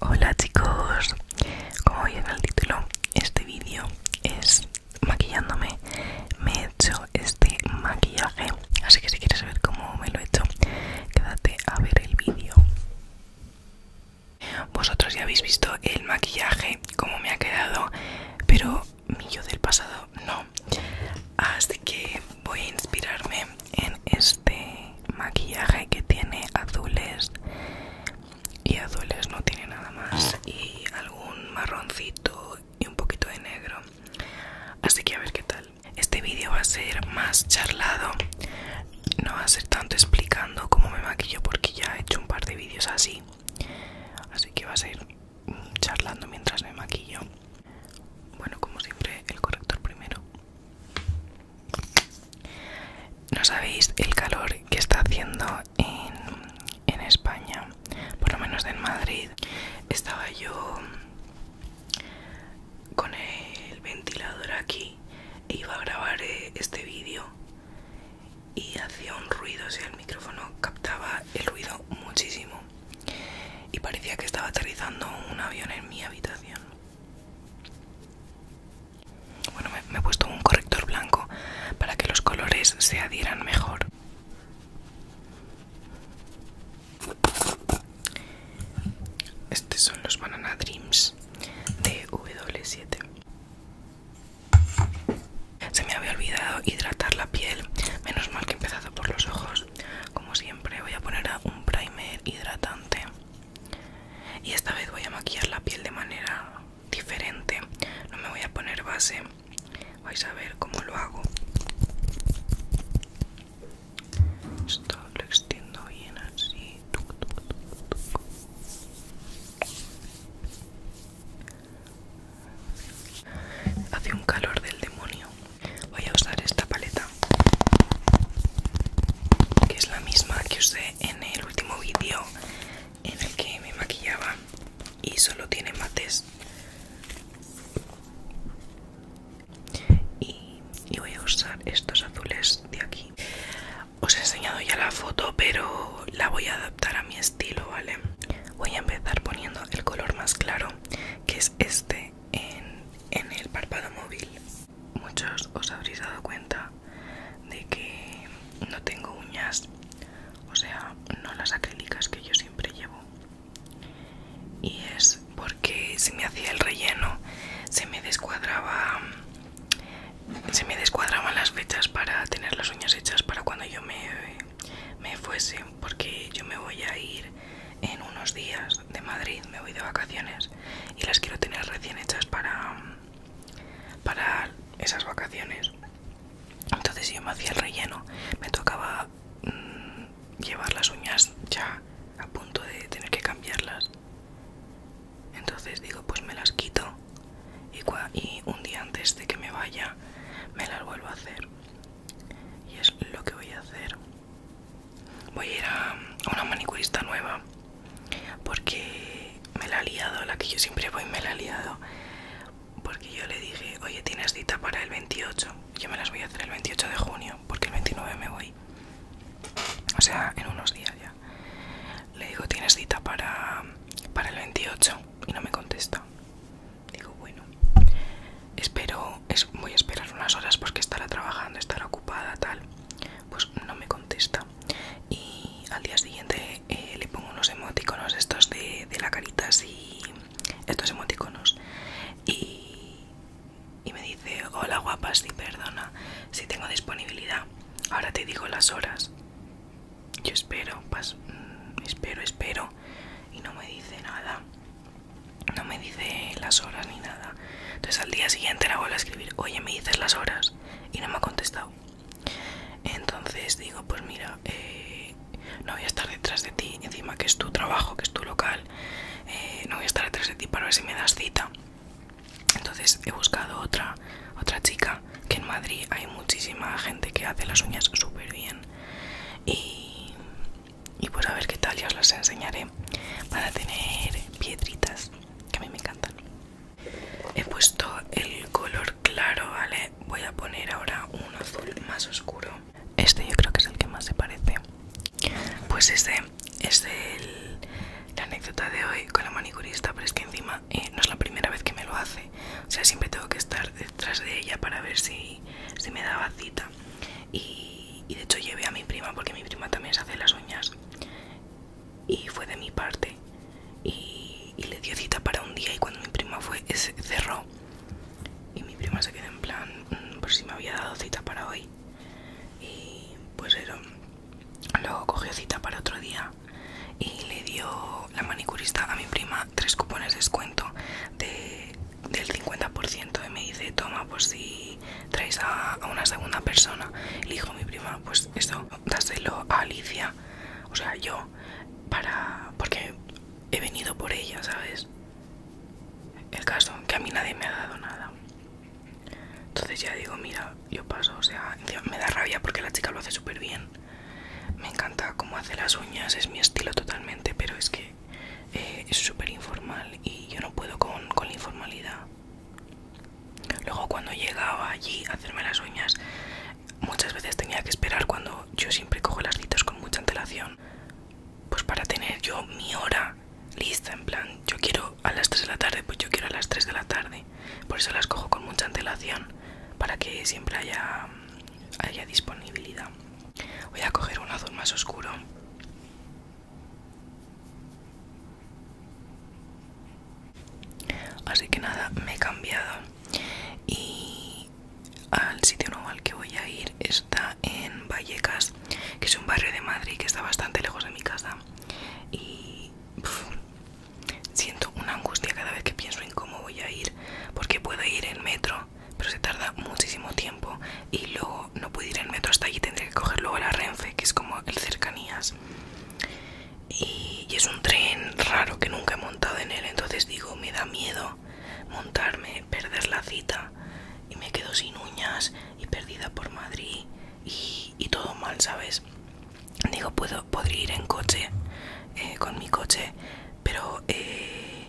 Hola chicos, como veis en el título, este vídeo es maquillándome. Me he hecho este maquillaje, así que si quieres saber cómo me lo he hecho, quédate a ver el vídeo. Vosotros ya habéis visto el maquillaje, cómo me ha quedado, pero mi yo del pasado no. Así que voy a inspirarme en este maquillaje que tiene azules y azules no tiene nada más y algún marroncito y un poquito de negro así que a ver qué tal este vídeo va a ser más charlado no va a ser tanto explicando cómo me maquillo porque ya he hecho un par de vídeos así así que va a ser mm, charlando mientras me maquillo bueno, como siempre, el corrector primero. No sabéis el calor que está haciendo en, España, por lo menos en Madrid. Estaba yo con el ventilador aquí e iba a grabar eh, este vídeo y hacía un ruido, o sea, el micrófono captaba el ruido muchísimo y parecía que estaba aterrizando un avión en mi habitación. Bueno, me, he puesto un corrector blanco para que los colores se adhieran mejor. Estos son los Banana Dreams de W7. Se me había olvidado hidratar la piel. Menos mal que he empezado por los ojos pues, como siempre voy a poner un primer hidratante y esta vez voy a maquillar la piel de manera diferente no me voy a poner base vais a ver cómo lo hago esto lo extiendo bien así Hace un calor del demonio. Voy a usar esta paleta que es la misma que usé en el último vídeo en el que me maquillaba y solo tiene mates y, voy a usar estos azules de aquí os he enseñado ya la foto pero la voy a adaptar a mi estilo vale voy a empezar poniendo el color más claro que es este en, el párpado móvil. Muchos os habréis dado cuenta de que no tengo uñas, o sea, no las acrílicas que yo siempre llevo. Y es porque se me hacía el relleno, se me descuadraba, se me descuadraban las fechas para tener las uñas hechas para cuando yo me fuese, porque yo me voy a ir en unos días de Madrid, me voy de vacaciones y las quiero tener recién hechas para, para esas vacaciones. Entonces yo me hacía el relleno, me tocaba mm, llevar las uñas ya a punto de tener que cambiarlas. Entonces digo, pues me las quito y, y un día antes de que me vaya me las vuelvo a hacer. Y es lo que voy a hacer. Voy a ir a una manicurista nueva porque me la ha liado, la que yo siempre voy me la ha liado. Porque yo le dije, oye, tienes cita para el 28. Yo me las voy a hacer el 28 de junio porque el 29 me voy. O sea, en unos días ya. Le digo, tienes cita para, para el 28 y no me contesta. Digo, bueno, espero, voy a esperar unas horas porque estará trabajando, estará ocupada, tal. Pues no me contesta. Y al día siguiente eh, le pongo unos emoticonos estos de, la carita así, estos emoticonos. Y, me dice, hola guapa, si perdona, si tengo disponibilidad. Ahora te digo las horas. Yo espero, pues, espero, espero. Y no me dice nada no me dice las horas ni nada. Entonces al día siguiente la vuelvo a escribir, oye, me dices las horas y no me ha contestado. Entonces digo, pues mira, eh, no voy a estar detrás de ti, encima que es tu trabajo, que es tu local, eh, no voy a estar detrás de ti para ver si me das cita. Entonces he buscado otra, otra chica, que en Madrid hay muchísima gente que hace las uñas súper bien. Y, y pues a ver qué tal ya os las enseñaré para tener piedritas que a mí me encantan he puesto el color claro vale voy a poner ahora un azul más oscuro este yo creo que es el que más se parece pues este es el, la anécdota de hoy con la manicurista pero es que encima eh, no es la primera vez que me lo hace o sea siempre tengo que estar detrás de ella para ver si, si me daba cita y, de hecho llevé a mi prima porque mi prima también se hace las uñas y fue de mi parte y, le dio cita para un día y cuando mi prima fue eh, se cerró y mi prima se quedó en plan mm, por si me había dado cita para hoy y pues era luego cogió cita para otro día y le dio la manicurista a mi prima tres cupones de descuento de del 50% y me dice, toma, pues si traes a, una segunda persona. Le dijo mi prima, pues eso, dáselo a Alicia, o sea, yo, para porque he venido por ella, ¿sabes? El caso, que a mí nadie me ha dado nada. Entonces ya digo, mira, yo paso, o sea, me da rabia porque la chica lo hace súper bien. Me encanta cómo hace las uñas, es mi estilo totalmente, pero es que eh, es súper informal y yo no puedo con, la informalidad. Luego cuando llegaba allí a hacerme las uñas, muchas veces tenía que esperar cuando yo siempre cojo las citas con mucha antelación. Pues para tener yo mi hora lista, en plan, yo quiero a las 3 de la tarde, pues yo quiero a las 3 de la tarde. Por eso las cojo con mucha antelación, para que siempre haya, haya disponibilidad. Voy a coger un azul más oscuro. Así que nada, me he cambiado y al sitio nuevo al que voy a ir está en Vallecas, que es un barrio de Madrid que está bastante lejos de mi casa y siento una angustia cada vez que pienso en cómo voy a ir, porque puedo ir en metro, pero se tarda muchísimo tiempo y luego no puedo ir en metro hasta allí, tendré que coger luego la Renfe, que es como el cercanías. Y, es un tren raro que nunca he montado en él, entonces digo, me da miedo montarme, perder la cita y me quedo sin uñas y perdida por Madrid y, todo mal, ¿sabes? Digo, puedo, podría ir en coche, eh, con mi coche, pero eh,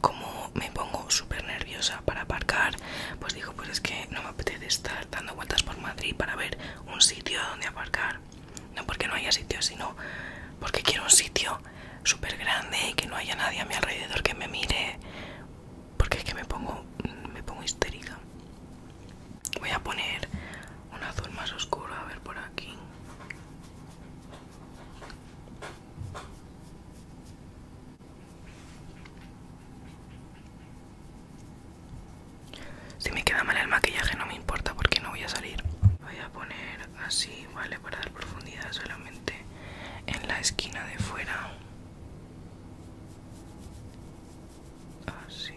como me pongo súper nerviosa para aparcar, pues digo, pues es que no me apetece estar dando vueltas por Madrid para ver un sitio donde aparcar. No porque no haya sitio, sino porque quiero un sitio súper grande y que no haya nadie a mi alrededor que me mire. Porque es que me pongo, me pongo histérica. Voy a poner un azul más oscuro, a ver por aquí. Si me queda mal el maquillaje no me importa porque no voy a salir. Voy a poner así, ¿vale? Para dar profundidad solamente en la esquina de fuera. Así.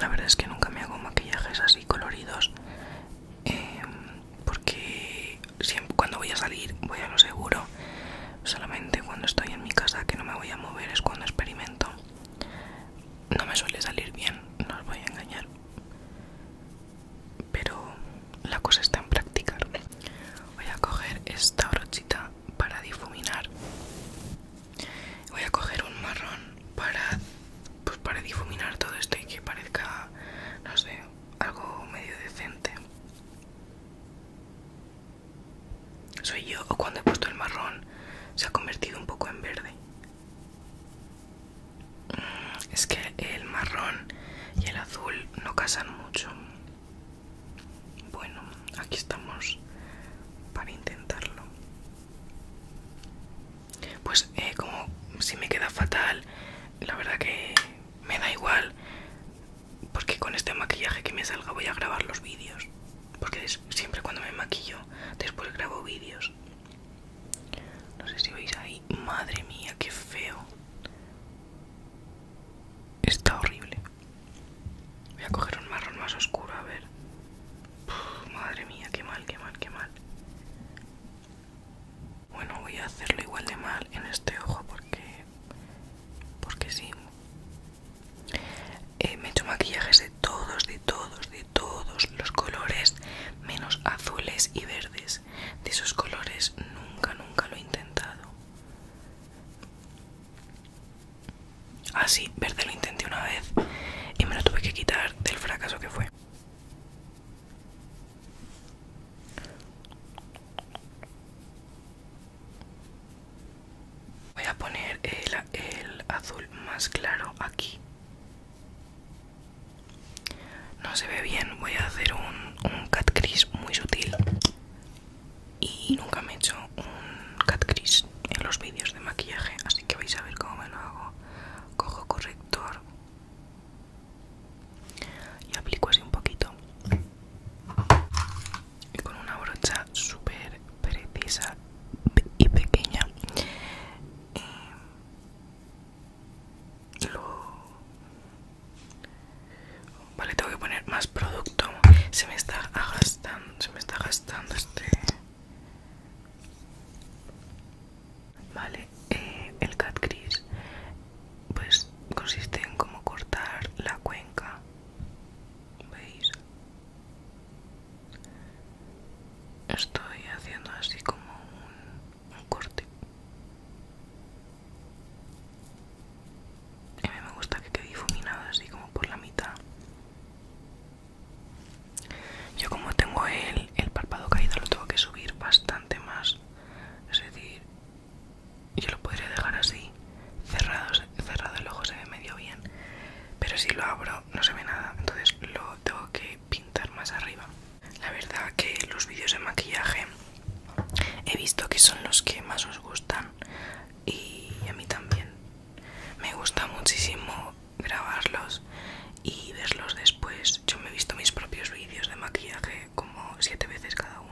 La verdad es que nunca me hago maquillajes así coloridos em, porque cuando voy a salir voy a lo seguro. Solamente cuando estoy en mi casa que no me voy a mover es cuando experimento. No me suele salir bien, no os voy a engañar. Pero la cosa está en practicar. Voy a coger esta brochita para difuminar Voy a coger un marrón pues, para difuminar todo esto y que parezca, no sé, algo medio decente. Soy yo o cuando he puesto el marrón se ha convertido un poco en verde. Mm, es que el marrón y el azul no casan mucho. Bueno, aquí estamos para intentarlo. Pues eh, como si me queda fatal, la verdad que me da igual. Porque con este maquillaje que me salga voy a grabar los vídeos. Porque siempre cuando me maquillo, después grabo vídeos. No sé si veis ahí. Madre mía, qué feo. Está horrible. Voy a coger un marrón más oscuro, a ver madre mía, qué mal, qué mal, qué mal. Bueno, voy a hacerlo igual de mal en este ojo porque. porque sí. Eh, me he hecho maquillajes de todos, de todos, de todos los colores, menos azules y verdes. De esos colores nunca, nunca lo he intentado. Así, ah, verde lo intenté una vez y me lo tuve que quitar del fracaso que fue. Voy a poner el, azul más claro aquí. No se ve bien, voy a hacer un, un cat crease muy sutil. Y nunca me he hecho un cat crease en los vídeos de maquillaje, así que vais a ver cómo me lo hago. Cojo corrector y aplico así un poquito. Y con una brocha súper precisa y pequeña eh, lo... Vale, tengo que poner más producto. Se me está gastando, se me está gastando este Vale, eh, el cat gris pues consiste en como cortar la cuenca, ¿veis? Estoy haciendo así como un, un corte. A mí me gusta que quede difuminado así como por la mitad. Yo como tengo el, el párpado caído lo tengo que subir bastante más. Es decir, yo lo podría dejar así, cerrados cerrado el ojo se ve medio bien. Pero si lo abro no se ve nada, entonces lo tengo que pintar más arriba. La verdad que los vídeos de maquillaje he visto que son los que más os gustan y a mí también. Me gusta muchísimo grabarlos y verlos después. Yo me he visto mis propios vídeos de maquillaje como siete veces cada uno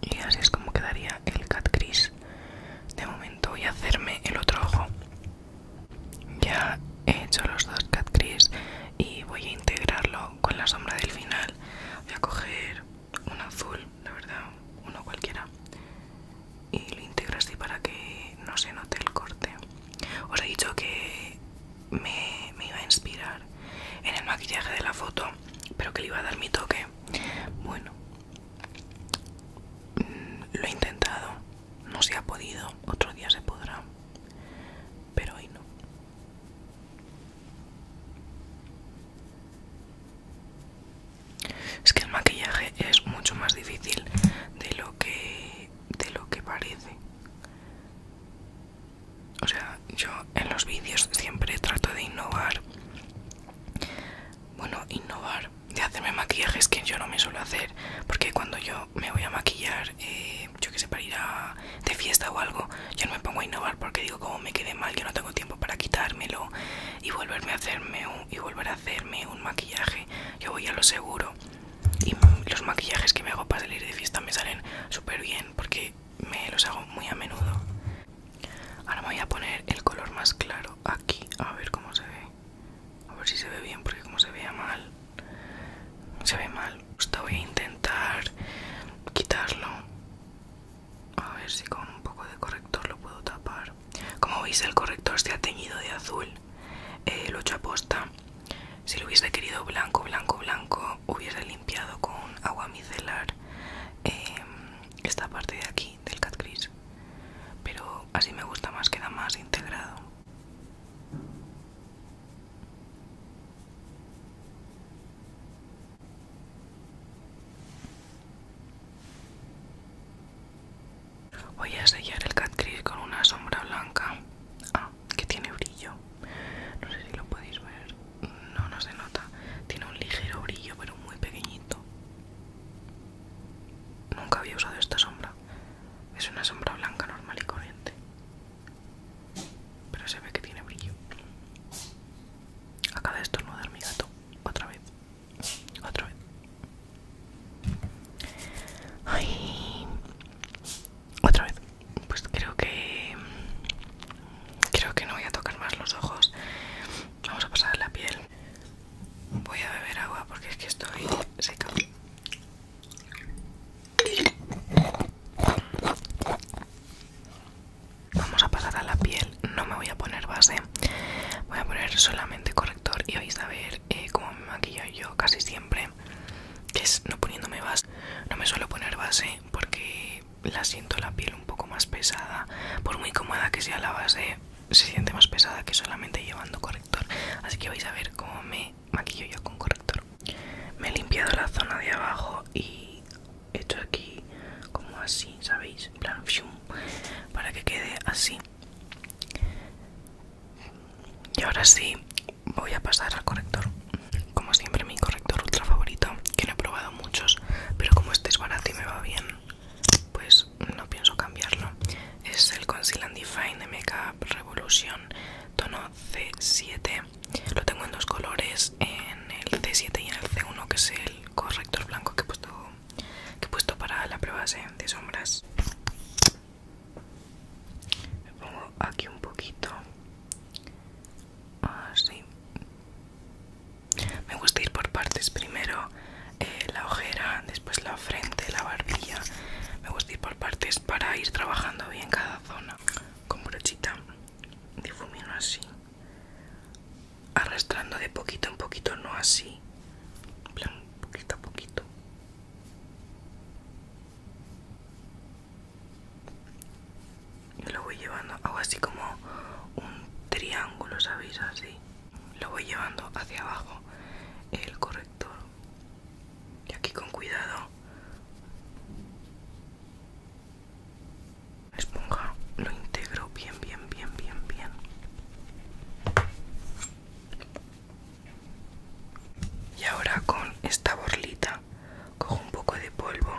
y así es como quedaría el cat gris de momento voy a hacerme el otro ojo ya he hecho los dos cat gris y voy a integrarlo con la sombra del final voy a coger un azul la verdad uno cualquiera y lo integras así para que no se note el corte os he dicho que me iba a inspirar en el maquillaje de la foto pero que le iba a dar mi toque bueno Mm, lo he intentado, no se ha podido, otro día se podrá, pero hoy no. Es que el maquillaje es mucho más difícil de lo que lo que parece. O sea, yo en los vídeos siempre trato de innovar bueno, innovar de hacerme maquillajes que yo no me suelo hacer, porque cuando yo me voy a maquillar, eh, yo que sé, para ir a, de fiesta o algo, yo no me pongo a innovar porque digo, como me quede mal, yo no tengo tiempo para quitármelo y volverme hacerme y volver a hacerme un maquillaje, yo voy a lo seguro. Y los maquillajes que me hago para salir de fiesta me salen súper bien porque me los hago muy a menudo. Ahora me voy a poner el color más claro aquí, a ver cómo se ve. A ver si se ve bien, porque como se vea mal, se ve mal. voy a intentar quitarlo. A ver si con un poco de corrector lo puedo tapar. Como veis, el corrector se ha teñido de azul. el eh, lo he Si lo hubiese querido blanco, blanco, blanco, hubiese limpiado con agua micelar. Em, esta parte de aquí del cat pero así me gusta más queda más integrado voy a sellar el cat con una sombra blanca ah, que tiene brillo no sé si lo podéis ver no, no se nota. Tiene un ligero brillo, pero muy pequeñito. Nunca había usado esta sombra. Es una sombra blanca normal y corriente. Pero se ve que tiene brillo. Acaba de estornudar mi gato. Otra vez. Otra vez. Ay. Otra vez. Pues creo que... Creo que no voy a tocar más los ojos. Vamos a pasar la piel. Voy a beber agua porque es que estoy seca. Vamos a pasar a la piel. No me voy a poner base. Voy a poner solamente corrector y vais a ver eh, cómo me maquillo yo casi siempre. Que es no poniéndome base. No me suelo poner base porque la siento la piel un poco más pesada. Por muy cómoda que sea la base, se siente más pesada que solamente llevando corrector. Así que vais a ver cómo me maquillo yo con corrector. Me he limpiado la zona de abajo y he hecho aquí como así, ¿sabéis? plan, para que quede así. Y ahora sí, voy a pasar al corrector. Como siempre, mi corrector ultra favorito, que no he probado muchos, pero como este es barato y me va bien, pues no pienso cambiarlo. Es el Conceal and Define de Makeup Revolution, tono C7. Lo tengo en dos colores, en el C7 y en el C1, que es el corrector blanco que he puesto, que he puesto para la prueba de sombras. Me pongo aquí un poquito así me gusta ir por partes, primero eh, la ojera, después la frente, la barbilla. Me gusta ir por partes para ir trabajando bien cada zona. Con brochita difumino así, arrastrando de poquito en poquito, no así, plan poquito a poquito y lo voy llevando, hago así como un triángulo, ¿sabéis? Así. Lo voy llevando hacia abajo el corrector. Y aquí con cuidado. esponja lo integro bien, bien, bien, bien, bien. Y ahora con esta borlita cojo un poco de polvo,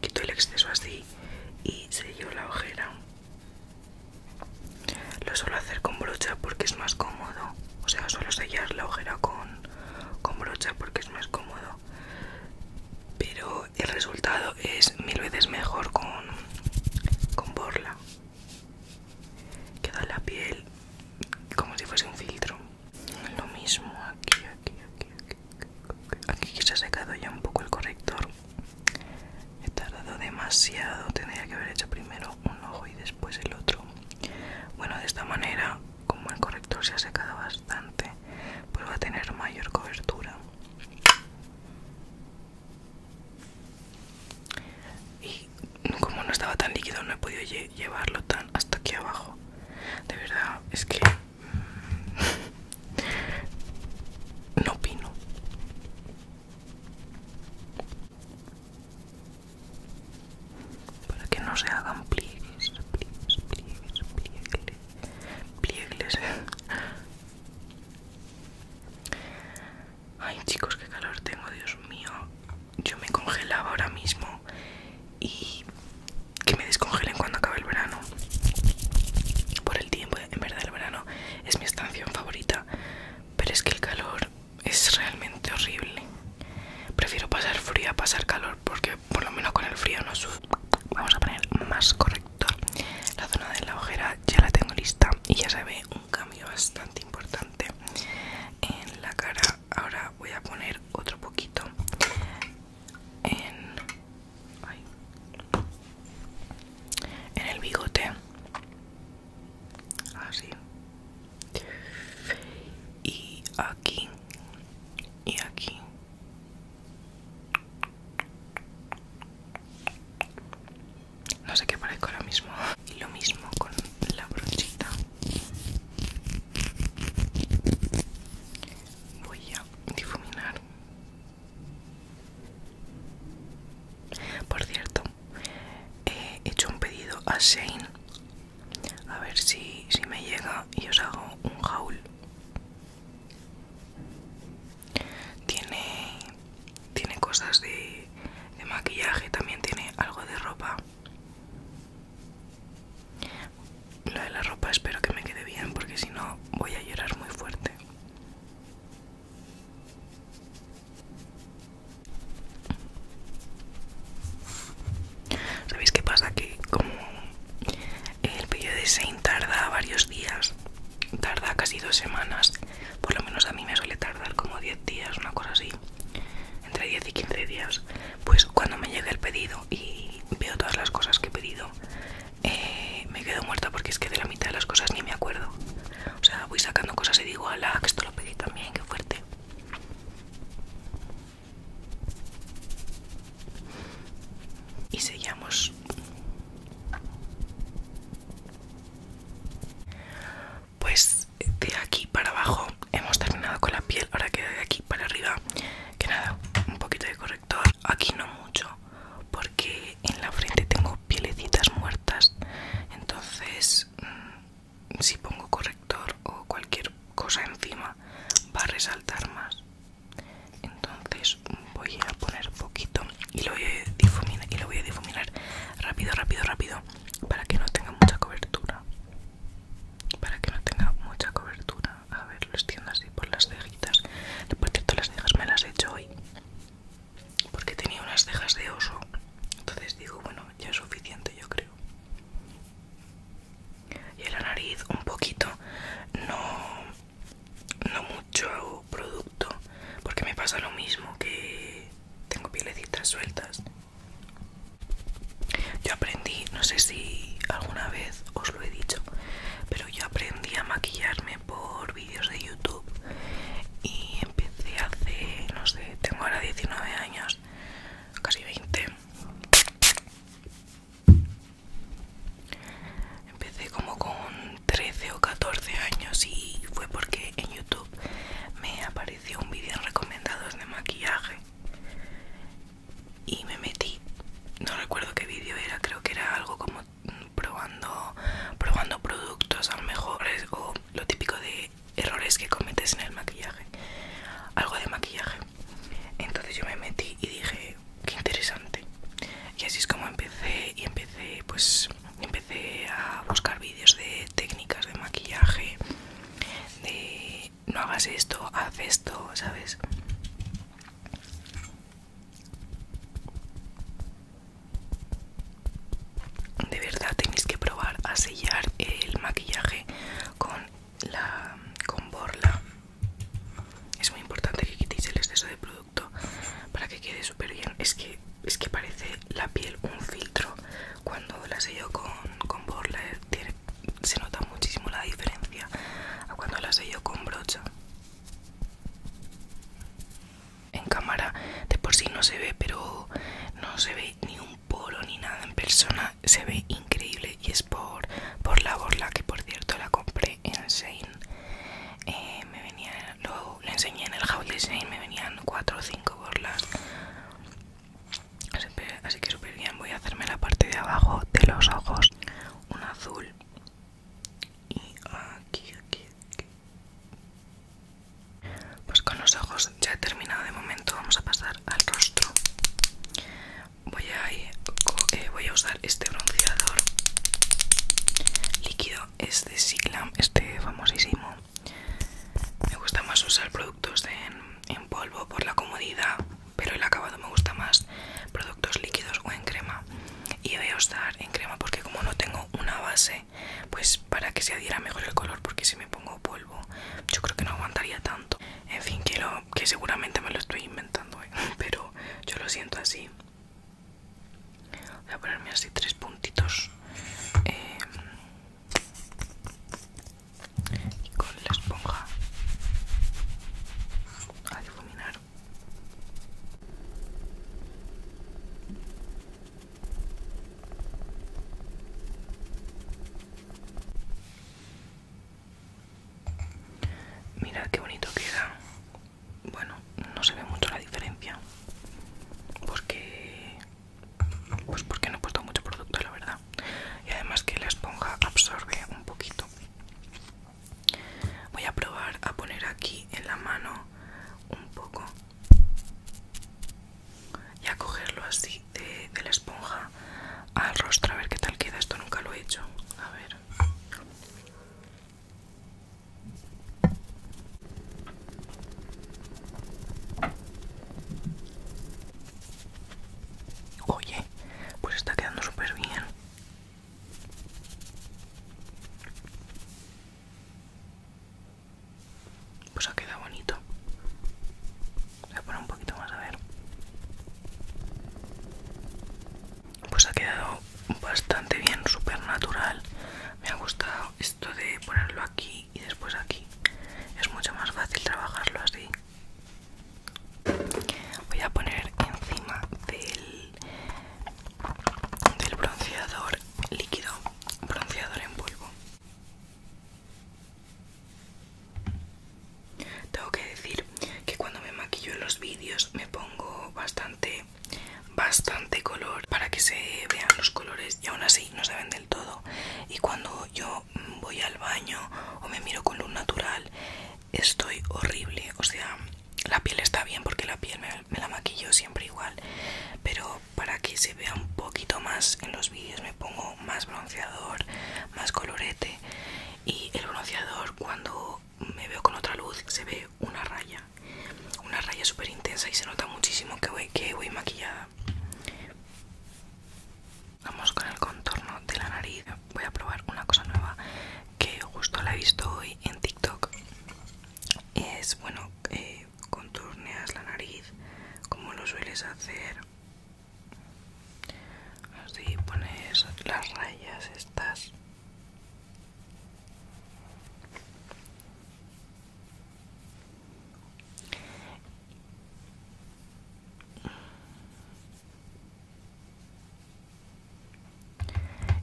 quito el exceso así y sello la ojera. Lo suelo hacer con brocha porque es más cómodo. O sea, suelo sellar la ojera con, brocha porque es más cómodo. Pero el resultado es mil veces mejor con, con borla. Queda la piel como si fuese un filtro. Lo mismo aquí, aquí, aquí. Aquí se ha secado ya un poco el corrector. He tardado demasiado. Tendría que haber hecho primero un ojo y después el otro. Bueno, de esta manera, como el corrector se ha secado bastante, pues va a tener mayor cobertura. Y como no estaba tan líquido, no he podido llevarlo tan hasta aquí abajo. De verdad, es que no opino. Para que no se hagan pliegues, pliegues, pliegues, pliegues, pliegues. Ay chicos, qué calor tengo, Dios mío. Yo me congelaba ahora mismo y que me descongelen cuando acabe el verano. Por el tiempo, en verdad el verano es mi estación favorita, pero es que el calor es realmente horrible. Prefiero pasar frío a pasar calor porque por lo menos con el frío no Vamos a poner más correcto La zona de la ojera ya la tengo lista y ya se ve un cambio bastante importante en la cara. Ahora voy a poner otro poquito en en el bigote así ah, y aquí y aquí no sé qué parezco ahora mismo y lo mismo con la brochita voy a difuminar por cierto, eh, he hecho un pedido a Shane. A ver si, me llega y os hago un haul. Tiene, cosas de maquillaje, también tiene algo de ropa lo de la ropa espero que me quede bien porque si no voy a llorar muy fuerte. ¿Sabéis qué pasa? Que como el pedido de Saint tarda varios días, tarda casi dos semanas, por lo menos a mí me suele tardar como 10 días, una cosa así, entre 10 y 15 días, pues cuando me llegue el pedido y veo todas las cosas que he pedido, eh, me quedo muerta porque es que de la mitad de las cosas ni me acuerdo. O sea, voy sacando cosas y digo, ala, que esto lo pedí también, qué fuerte. Y sellamos. Pues de aquí para abajo hemos terminado con la piel, ahora queda de aquí para arriba, que nada, un poquito de corrección aquí no mucho porque en la frente tengo pielecitas muertas entonces mm, si pongo corrector o cualquier cosa encima va a resaltar más entonces voy a poner poquito y lo y lo voy a difuminar rápido rápido rápido para que no tenga mucha cobertura para que no tenga mucha cobertura a ver, lo extiendo así por las cejitas. Por todas las cejas me las he hecho hoy porque tenía unas cejas de oso. Entonces digo, bueno, ya es suficiente, yo creo. Y en la nariz, un poquito, no, no mucho producto, porque me pasa lo mismo que tengo pielecitas sueltas. Yo aprendí, no sé si alguna vez os lo he dicho, yo aprendí a maquillarme por vídeos de YouTube y empecé hace, no sé, tengo ahora 19 años, casi 20. Empecé como con 13 o 14 años y fue porque en YouTube me apareció un vídeo en recomendados de maquillaje y me metí no recuerdo qué vídeo era creo que era algo como probando productos a lo mejor o lo típico de errores que cometes en el maquillaje algo de maquillaje entonces yo me metí y dije qué interesante y así es como empecé y empecé pues empecé a buscar vídeos de técnicas de maquillaje de no hagas esto haz esto sabes de verdad tenéis que probar a sellar el maquillaje con borla. Es muy importante que quitéis el exceso de producto para que quede súper bien. Es que parece la piel un filtro. Cuando la sello con, borla eh, se nota muchísimo la diferencia a cuando la sello con brocha. En cámara de por sí no se ve, pero no se ve ni un polo ni nada en persona. Se ve increíble y es por, la borla que por cierto la compré en Shane. Eh, me lo, enseñé en el haul de Shane, me venían 4 o 5 borlas. Así que súper bien, voy a hacerme la parte de abajo de los ojos. Un azul y aquí, aquí, Pues con los ojos ya he terminado de momento, vamos a pasar al rostro. Voy a, eh, a usar este bronceador líquido, es de Siglam, este famosísimo. Me gusta más usar productos en polvo por la comodidad pero el acabado me gusta más productos líquidos o en crema y voy a usar en crema porque como no tengo una base pues para que se adhiera mejor el color porque si me pongo polvo yo creo que no aguantaría tanto en fin quiero que seguramente me lo estoy inventando ¿eh? pero yo lo siento así voy a ponerme así tres puntitos eh, y con la esponja a difuminar Mira qué bonito queda. Bueno, no se ve mucho la diferencia. Porque pues porque no he puesto mucho producto, la verdad. Y además que la esponja absorbe un poquito. Voy a probar a poner aquí en la mano un poco y a cogerlo así de, la esponja al rostro a ver qué tal queda. Esto nunca lo he hecho. A ver. Oye, pues está quedando súper bien. Pues ha quedado bonito. Voy a poner un poquito más a ver. Pues ha quedado bastante bien, súper natural. Me ha gustado esto de ponerlo aquí y después aquí. Es mucho más fácil trabajarlo así. Voy a poner encima del, bronceador líquido, bronceador en polvo. Tengo que decir que cuando me maquillo en los vídeos me pongo bastante, bastante color para que se vean los colores y aún así no se ven del todo. Y cuando yo voy al baño o me miro con luz natural, estoy horrible, o sea, la piel está bien porque la piel me, la maquillo siempre igual, pero para que se vea un poquito más en los vídeos me pongo más bronceador, más colorete y el bronceador cuando me veo con otra luz se ve una raya, una raya súper intensa y se nota muchísimo que que voy maquillada. Vamos con el contorno de la nariz voy a probar una cosa nueva que justo la he visto hoy en TikTok. Es bueno, eh, contorneas la nariz como lo sueles hacer. Así pones las rayas estas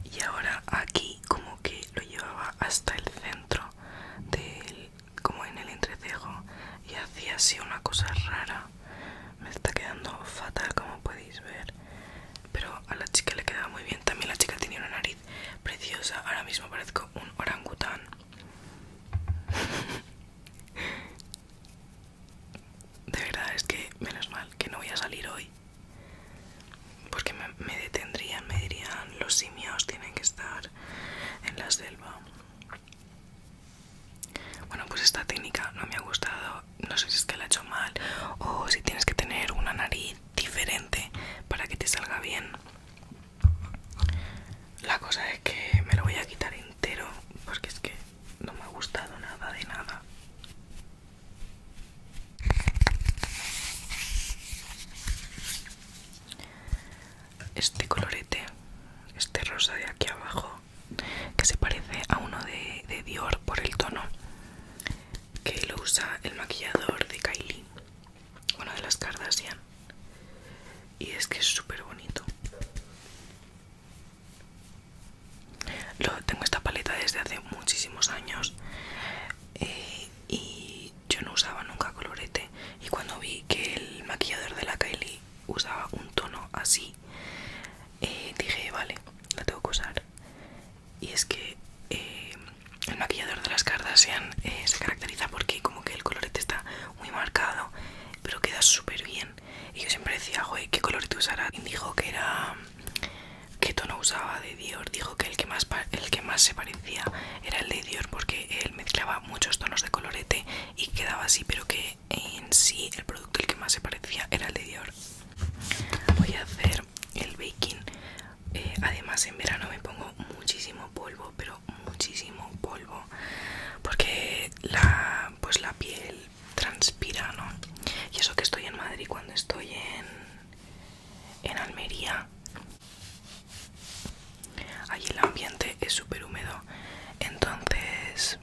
y ahora aquí como que lo llevaba hasta el centro del como en el entrecejo y hacía así una cosa rara me está quedando fatal como podéis ver pero a la chica le quedaba muy bien también la chica tenía una nariz preciosa ahora mismo parezco un orangután De verdad es que menos mal que no voy a salir hoy. Porque me, detendrían, me dirían los simios tienen que estar en la selva. Bueno, pues esta técnica no me ha gustado. No sé si es que la he hecho mal o si tienes que tener una nariz diferente para que te salga bien. La cosa es que me lo voy a quitar entero porque es que no me ha gustado nada de nada. Este colorete, este rosa de aquí abajo, que se parece a uno de, Dior por el tono, que lo usa el maquillador de Kylie, una de las Kardashian. Y es que es súper bonito. Lo, tengo esta paleta desde hace muchísimos años eh, y yo no usaba nunca colorete y cuando vi que el maquillador de la Kylie usaba un tono así eh, dije vale la tengo que usar y es que eh, el maquillador de las Kardashian se caracteriza porque como que el colorete está muy marcado pero queda súper bien y yo siempre decía, güey, ¿qué color te usará? Y dijo que era. ¿Qué tono usaba de Dior? Dijo que el que, más, el que más se parecía era el de Dior porque él mezclaba muchos tonos de colorete y quedaba así, pero que en sí el producto el que más se parecía era el de Dior. Voy a hacer el baking. Eh, además, en verano me pongo muchísimo polvo, pero muchísimo polvo porque la, pues la piel transpira, ¿no? Y eso que estoy en Madrid cuando estoy en, en Almería. Allí el ambiente es súper húmedo. Entonces...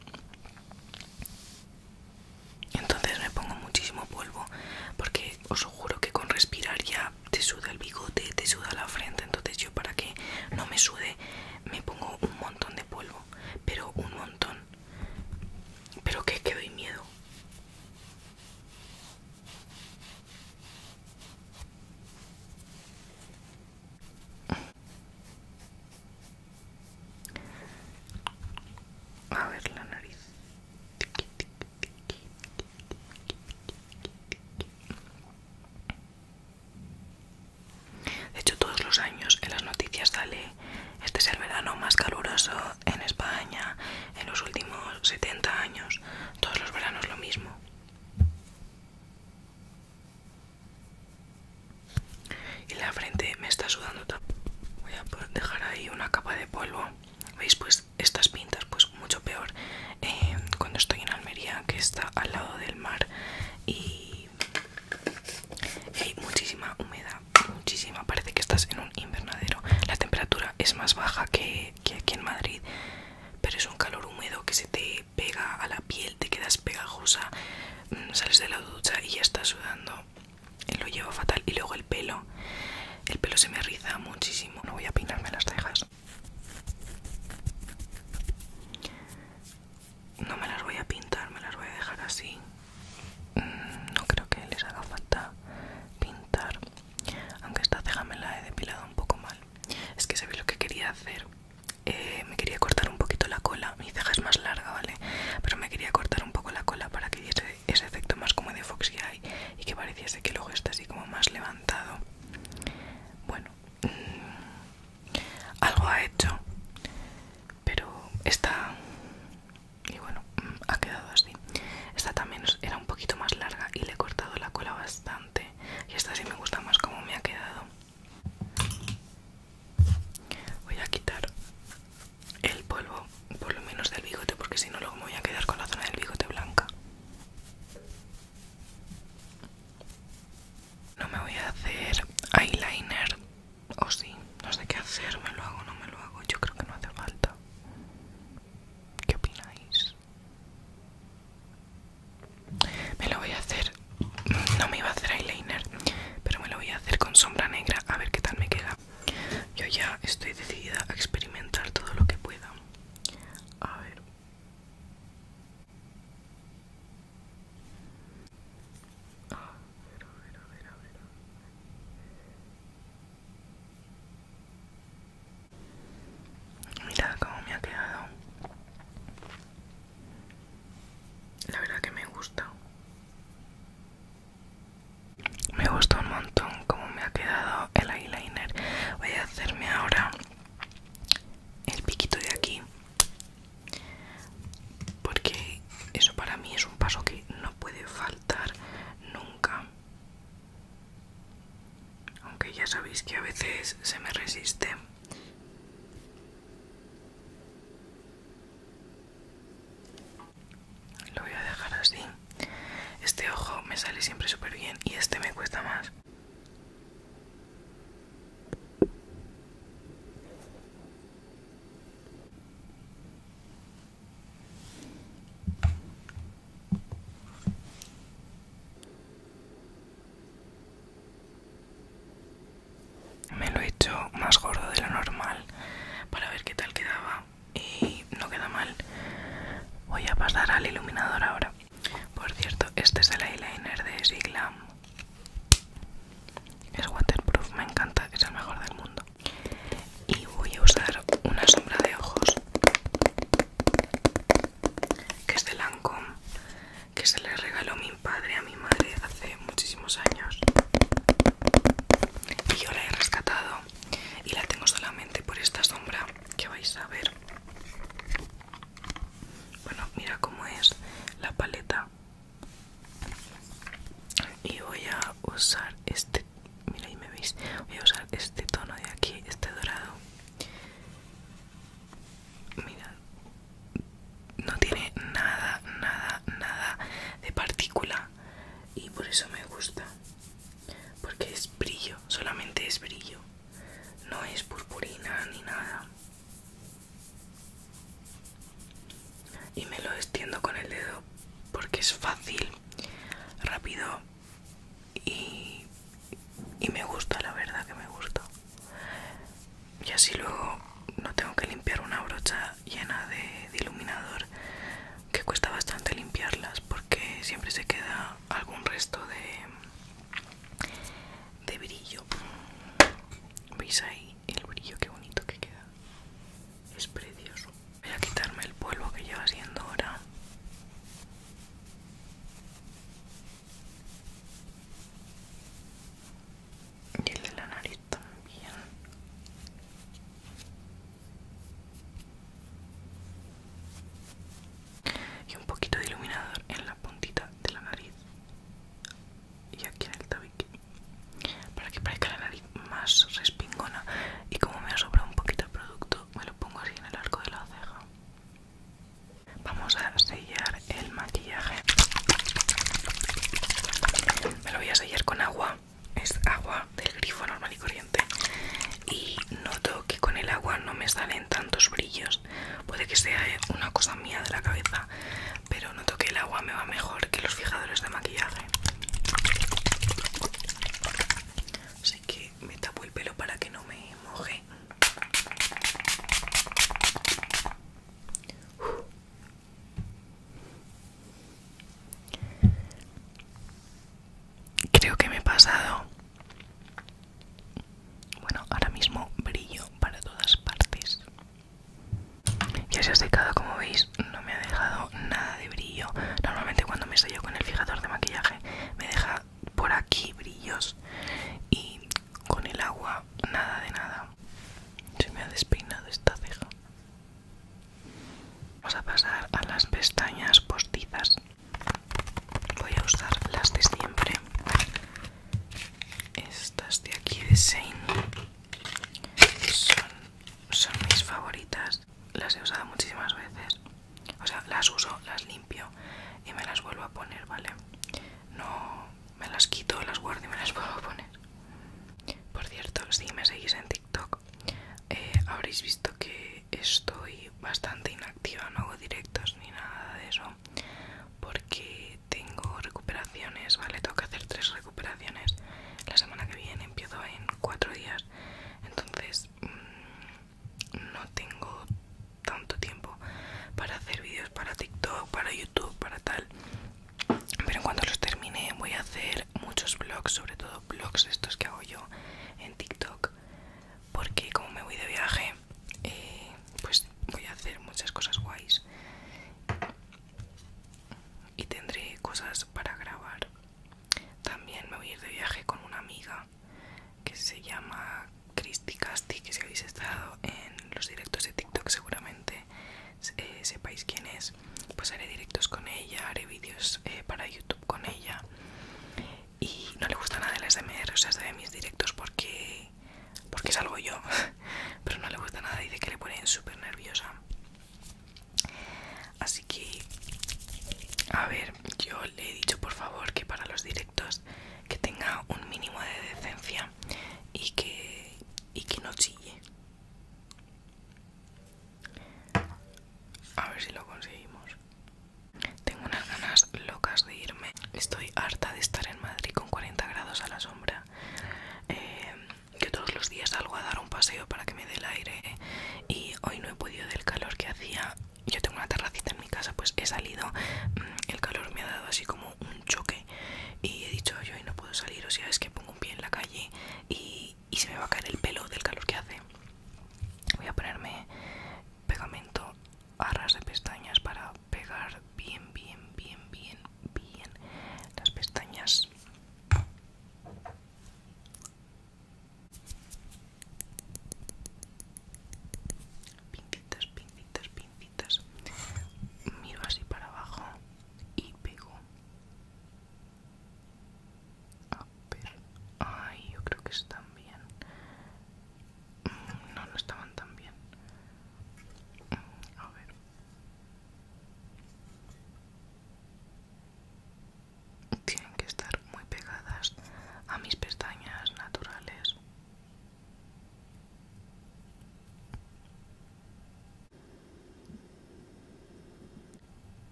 Entonces me pongo muchísimo polvo porque os juro que con respirar ya te suda el bigote, te suda la frente. Entonces yo para que no me sude me pongo un montón de polvo, pero un montón. Pero qué que doy miedo. A ver la nariz. De hecho, todos los años en las noticias sale, este es el verano más caluroso en España en los últimos 70 años. Todos los veranos lo mismo. Y la frente me está sudando. Voy a dejar ahí una capa de polvo. ¿Veis? Pues estas pintas, pues mucho peor eh, cuando estoy en Almería, que está al lado del mar y hay muchísima humedad muchísima, Parece que estás en un invernadero. La temperatura es más baja que, aquí en Madrid, pero es un calor húmedo que se te pega a la piel, te quedas pegajosa, mm, sales de la ducha y ya estás sudando. Lo llevo fatal. Y luego el pelo. El pelo se me riza muchísimo. No voy a peinarme las cejas no me las voy a pintar, me las voy a dejar así. Mm, no creo que les haga falta pintar. Aunque esta ceja me la he depilado un poco mal. Es que ve lo que quería hacer. Eh, me quería cortar un poquito la cola. Mi ceja es más larga, ¿vale? Pero me quería cortar un poco la cola para que diese ese efecto más como de Foxy Eye y que pareciese que luego está así como más levantado. Bueno, mm, algo ha hecho pero esta y bueno mm, ha quedado así esta también era un poquito más larga y le he cortado la cola bastante y esta sí me gusta más como me ha quedado voy a quitar el polvo por lo menos del bigote porque si no luego me voy a quedar con la zona del bigote blanca no me voy a hacer eyeliner o sí, no sé qué hacer, me lo hago, no me lo hago. Yo creo que no hace falta. ¿Qué opináis? Me lo voy a hacer. No me iba a hacer eyeliner, pero me lo voy a hacer con sombra negra a ver qué tal me queda. Yo ya estoy decidida a experimentar todo lo que pueda. A ver. Mira cómo me ha quedado. La verdad que me gusta. Me gusta un montón cómo me ha quedado el eyeliner. Voy a hacerme ahora el piquito de aquí porque eso para mí es un paso que no puede faltar nunca aunque ya sabéis que a veces se me resiste lo voy a dejar así este ojo me sale siempre súper bien y este me cuesta más me lo he hecho más gordo de lo normal para ver qué tal quedaba y no queda mal. Voy a pasar al iluminador ahora. Por cierto, este es el eyeliner de Siglam es waterproof, me encanta, es el mejor del mundo. Y voy a usar una sombra de ojos que es de Lancome, que se le regaló mi padre a mi madre hace muchísimos años. Y yo la he rescatado y la tengo solamente por esta sombra que vais a ver. Bueno, mira cómo es la paleta y voy a usar este mira ahí me veis voy a usar este tono de aquí este dorado mira no tiene nada nada nada de partícula y por eso me gusta porque es brillo solamente es brillo no es purpurina ni nada y me lo extiendo con el dedo porque es fácil, rápido y, me gusta, la verdad que me gusta. Y así luego no tengo que limpiar una brocha llena de, iluminador que cuesta bastante limpiarlas porque siempre se queda algún resto de, de brillo. ¿Veis ahí? el brillo que bonito que queda es precioso voy a quitarme el polvo que lleva siendo ahora y el de la nariz también y un poquito de iluminador en la puntita de la nariz y aquí en el tabique para que parezca la nariz más respingona y como me ha sobrado un poquito de producto me lo pongo así en el arco de la ceja vamos a sellar el maquillaje me lo voy a sellar con agua es agua del grifo normal y corriente y noto que con el agua no me salen tantos brillos puede que sea eh, una cosa mía de la cabeza pero noto que el agua me va mejor que los fijadores de maquillaje así que me tapo el pelo para que no me moje Creo que me he pasado. Bueno, ahora mismo brillo para todas partes. Ya se ha secado como veis, no me ha dejado nada de brillo. Normalmente cuando me sello con el fijador de maquillaje me deja por aquí brillos y con el agua nada de nada. Se me ha despeinado esta ceja. Vamos a pasar a las pestañas postizas. Voy a usar las de siempre. Estas de aquí de Shane son, mis favoritas las he usado muchísimas veces o sea las uso las limpio y me las vuelvo a poner vale no me las quito las guardo y me las vuelvo a poner por cierto si me seguís en TikTok eh, habréis visto que estoy bastante inactiva no hago directos ni nada de eso porque tengo recuperaciones, ¿vale? Tengo que hacer tres recuperaciones. La semana que viene empiezo en cuatro días. Entonces mm, no tengo tanto tiempo para hacer vídeos para TikTok, para YouTube, para tal. Pero en cuanto los termine voy a hacer muchos vlogs, sobre todo vlogs estos que hago yo en TikTok. Porque como me voy de viaje, eh, pues voy a hacer muchas cosas guays y tendré cosas para grabar. También me voy a ir de viaje con una amiga que se llama Christy Casti, que si habéis estado en los directos de TikTok seguramente eh, sepáis quién es. Pues haré directos con ella, haré vídeos eh, para YouTube con ella. Y no le gusta nada las DMR, o sea, de mis directos porque porque, salgo yo, pero no le gusta nada, dice que le ponen súper nerviosa. Así que, a ver, yo le he dicho por favor que para los directos que tenga un mínimo de decencia y que, y que no chille. A ver si lo conseguimos. Tengo unas ganas locas de irme. Estoy harta de estar en Madrid con 40 grados a la sombra yo eh, todos los días salgo a dar un paseo para que me dé el aire y hoy no he podido del calor que hacía yo tengo una terracita en mi casa pues he salido mm, el calor me ha dado así como un choque y he dicho yo hoy no puedo salir o sea es que pongo un pie en la calle y, y se me va a caer el pelo del calor que hace voy a ponerme pegamento a de pestañas para pegar bien, bien, bien, bien, bien las pestañas. Pincitas, pincitas, pincitas. Miro así para abajo y pego. A ver. Ay, yo creo que están bien. Mm, no, no estaban tan bien. Mm, a ver. Tienen que estar muy pegadas a mis pestañas naturales.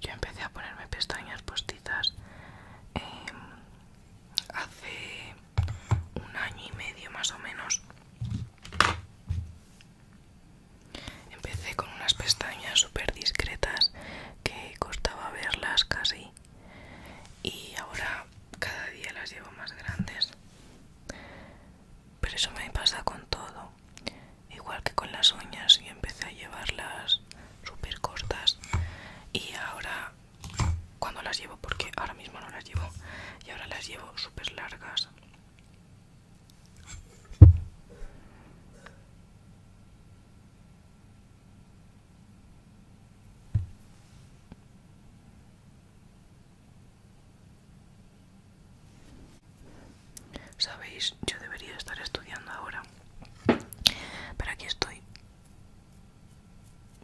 Yo empecé a ponerme pestañas postizas em, hace un año y medio más o menos. Empecé con unas pestañas súper discretas que costaba verlas casi y ahora cada día las llevo más grandes. Pero eso me pasa con todo. Igual que con las uñas, y empecé a llevarlas súper cortas y ahora cuando las llevo porque ahora mismo no las llevo y ahora las llevo súper largas Sabéis, yo debería estar estudiando ahora, pero aquí estoy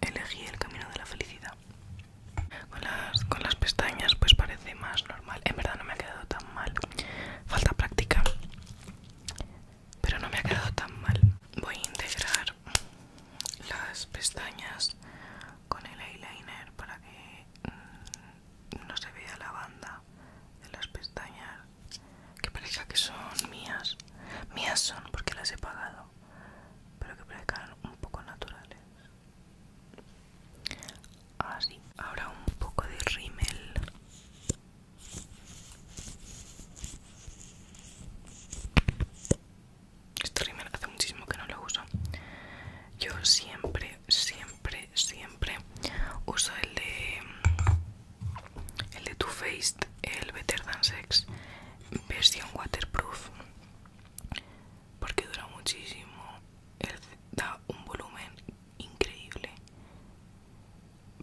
elegí el camino de la felicidad. Con las, pestañas pues parece más normal. En verdad no me ha quedado tan mal. Falta práctica. Pero no me ha quedado tan mal. Voy a integrar las pestañas con el eyeliner para que mm, no se vea la banda de las pestañas. Que parezca que son mías. Mías son porque las he pagado pero que parezcan un poco naturales. Así, ahora un poco de rímel. Este rímel hace muchísimo que no lo uso. Yo siempre, siempre, siempre uso el de el de Too Faced, el Better Than Sex, versión waterproof porque dura muchísimo da un volumen increíble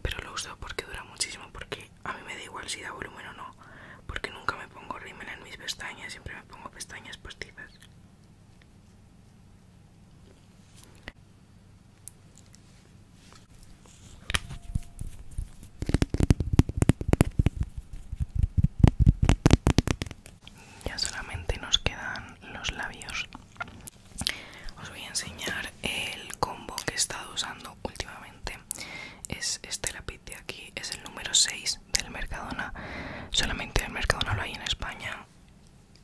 pero lo uso porque dura muchísimo porque a mí me da igual si da volumen o no porque nunca me pongo rímel en mis pestañas siempre me pongo pestañas postizas ya solamente nos quedan los labios. Os voy a enseñar el combo que he estado usando últimamente. Es este lápiz de aquí, es el número 6 del Mercadona. Solamente el Mercadona lo hay en España.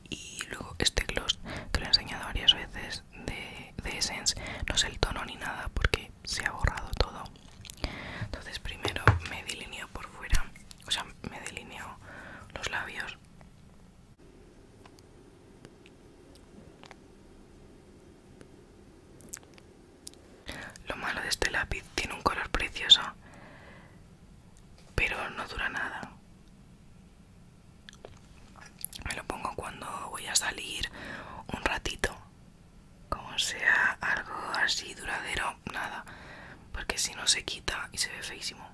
Y luego este gloss que lo he enseñado varias veces de, Essence. No sé el tono ni nada porque se ha borrado todo entonces primero me delineo por fuera o sea me delineo los labios lo malo de este lápiz tiene un color precioso pero no dura nada me lo pongo cuando voy a salir un ratito como sea algo así duradero, nada, porque si no se quita y se ve feísimo.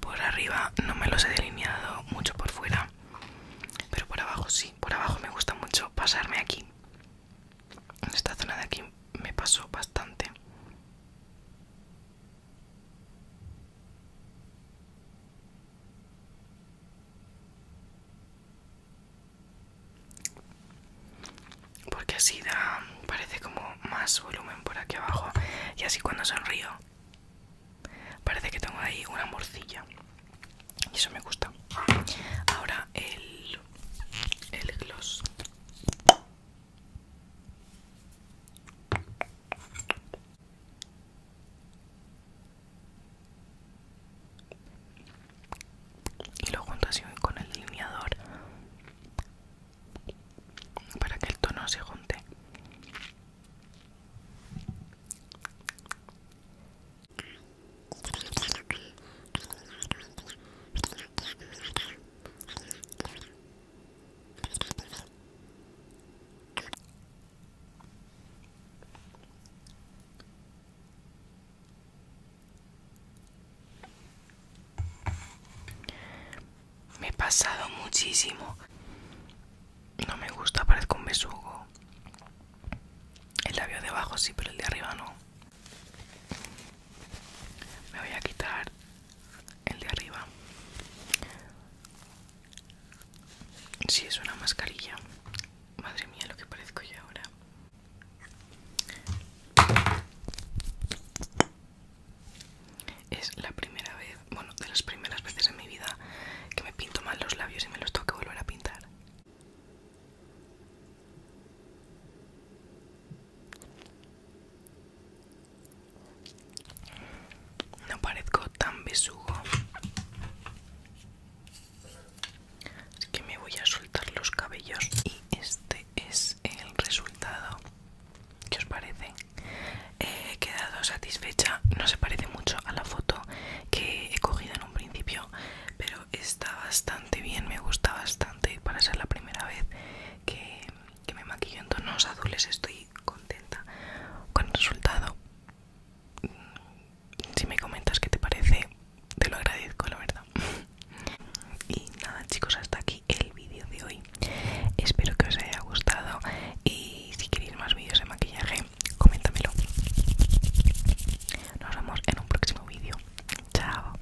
Por arriba no me los he delineado mucho por fuera, pero por abajo sí, por abajo me gusta mucho pasarme aquí. esta zona de aquí me pasó bastante porque así da, parece como más volumen por aquí abajo. Y así cuando sonrío, parece que tengo ahí una morcilla. Y eso me gusta. Ahora el, el gloss y lo junto así con el delineador para que el tono se junte me he pasado muchísimo. No me gusta, parezco un besugo. El labio debajo abajo sí, pero el de arriba no. Me voy a quitar el de arriba. Si es una mascarilla. Madre mía, lo que parezco yo ahora. Es la primera vez, bueno, de las primeras veces en mi vida que me pinto mal los labios y me los tengo que volver a pintar. No parezco tan besugo. Así que me voy a soltar los cabellos. Y este es el resultado. ¿Qué os parece? Eh, he quedado satisfecha. No se parece mucho a la foto que he cogido en un principio. Pero está bastante bien. Me gusta bastante para ser la primera vez que que me maquillo en tonos azules estoy contenta con el resultado mm, si me comentas qué te parece te lo agradezco la verdad y nada chicos hasta aquí el vídeo de hoy espero que os haya gustado y si queréis más vídeos de maquillaje coméntamelo nos vemos en un próximo vídeo chao